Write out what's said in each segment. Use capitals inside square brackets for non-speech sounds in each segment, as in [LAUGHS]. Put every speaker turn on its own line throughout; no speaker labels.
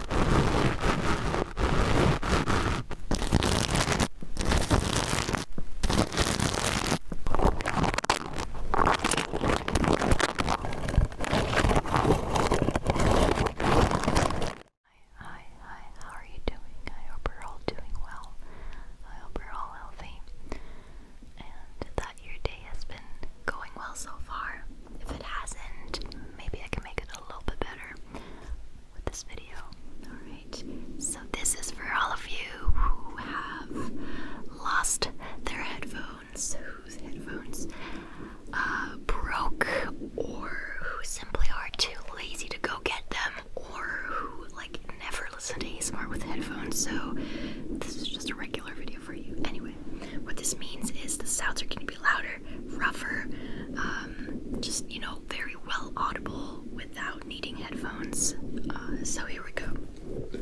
Hi, hi, how are you doing? I hope you're all doing well. I hope you're all healthy. And that your day has been going well so far. If it hasn't, maybe I can make it a a little bit better with this video. Alright, so this is for all of you who have lost their headphones, whose headphones uh, broke, or who simply are too lazy to go get them, or who like never listen to Smart with headphones. So this is just a regular video for you. Anyway, what this means is the sounds are going to be louder rougher, um, just you know, very well audible without needing headphones. Uh, so here we go.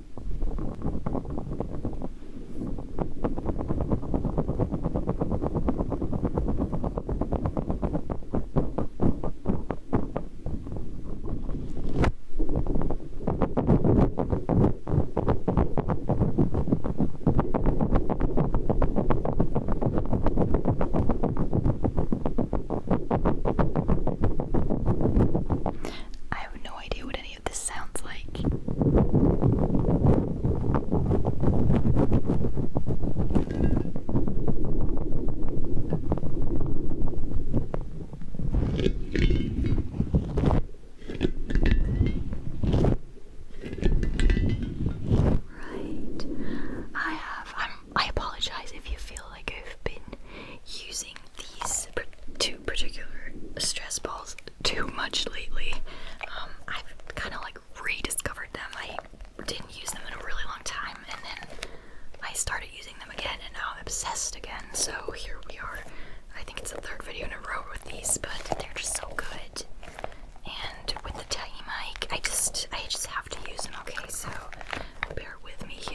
I have no idea what any. Right, I have. I'm, I apologize if you feel like I've been using these two particular stress balls too much lately. Um, I've kind of like rediscovered them. I didn't use them in a really long time, and then I started using them again, and now I'm obsessed again. So here we are. I think it's the third video in a row with these, but they're just so good. And with the tiny mic, I just I just have to use them. Okay, so bear with me here.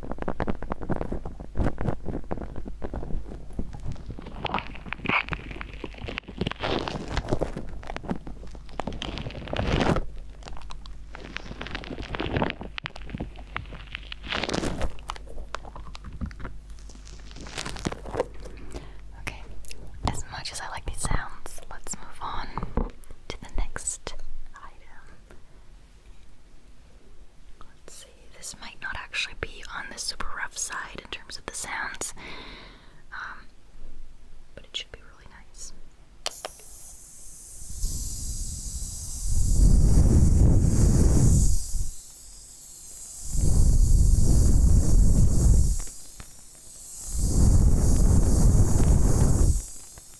Okay, as much as I like these sounds, let's move on to the next item. Let's see, this might not actually be on the super rough side in terms of the sounds, um, but it should be really nice.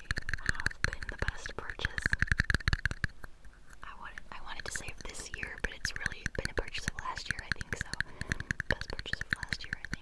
have been the best purchase. I wanted, I wanted to say of this year, but it's really been a purchase of last year, I think so. Best purchase of last year, I think.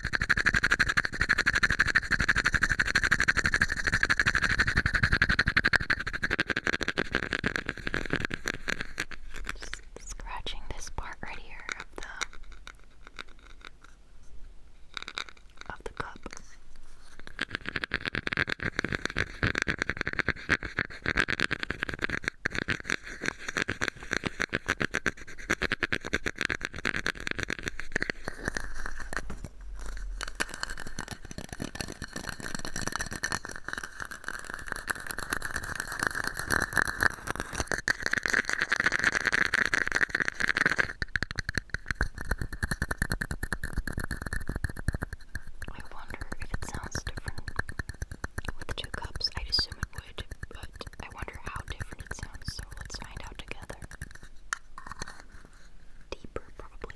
Just scratching this part right here of the of the cup. I wonder if
it sounds different with two cups. I'd assume it language, but I wonder how different it sounds, so let's find out together. Deeper, probably.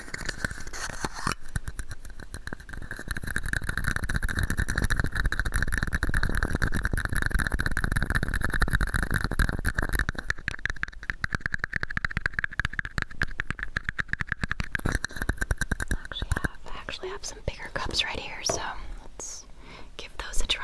Actually, I actually have some bigger cups right here, so let's give those a try.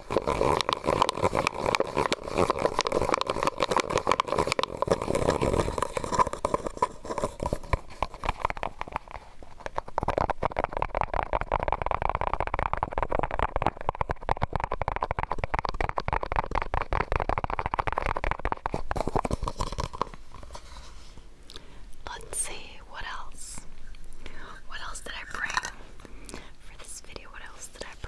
Let's see what else. What else did I bring for this video? What else did I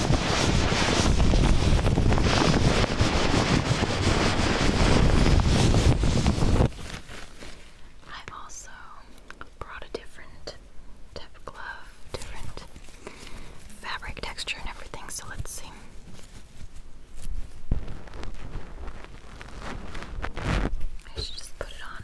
i also brought a different tip glove, different fabric texture and everything, so let's see. I should just put it on.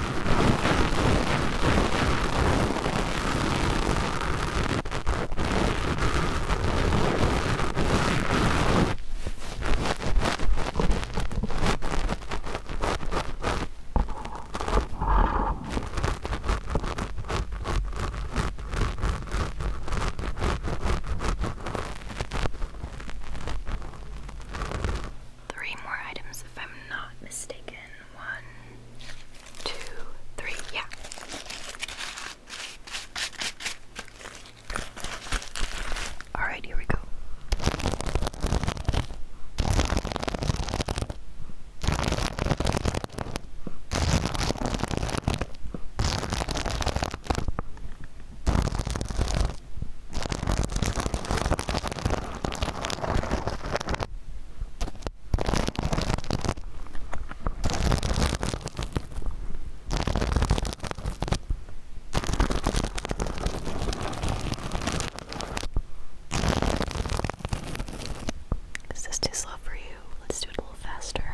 Three more items, if I'm not mistaken. One, two, three, yeah. Alright, here we go. Is this too slow for you? Let's do
it a little faster.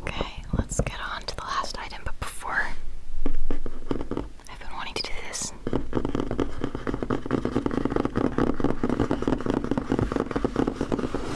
Okay, let's get on to the last item, but before I've been wanting to do this.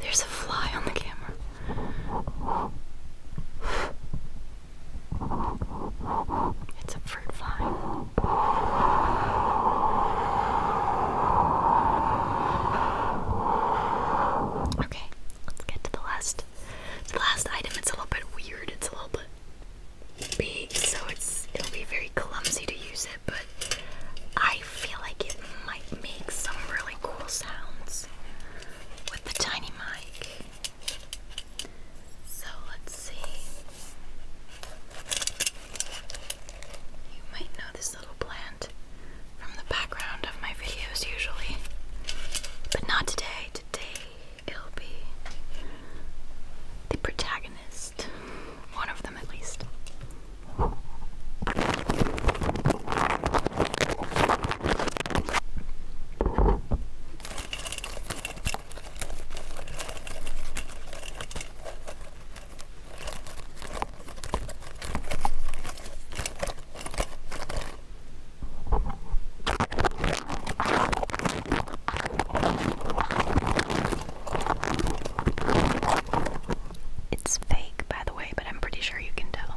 There's a fly on the camera.
It's a fruit fly.
Okay, let's get to the last. So the last item, it's a little bit weird, it's a little bit big, so it's it'll be very clumsy to use it, but I feel like it might make some really cool sounds with the tiny mic. So let's see. You might know little plant from the background of my videos usually, but not today. Today it'll be the protagonist, one of them at least. It's fake, by the way, but I'm pretty sure you can tell.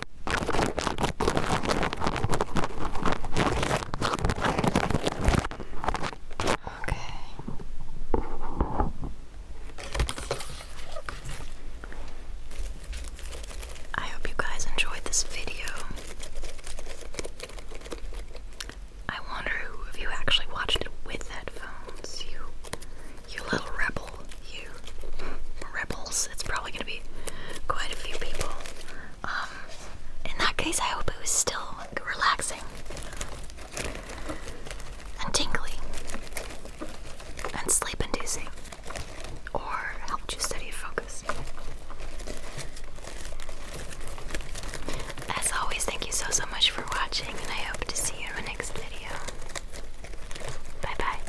Okay. I hope you guys enjoyed this video. I wonder who of you actually watched it with headphones. You you little rebel. You [LAUGHS] rebels. It's probably gonna be quite a few people. Um, in that case, I hope it was still relaxing and tingly and sleep inducing or helped you steady focus.
As always, thank you so, so much for watching, and I hope to see you in my next video. Bye bye.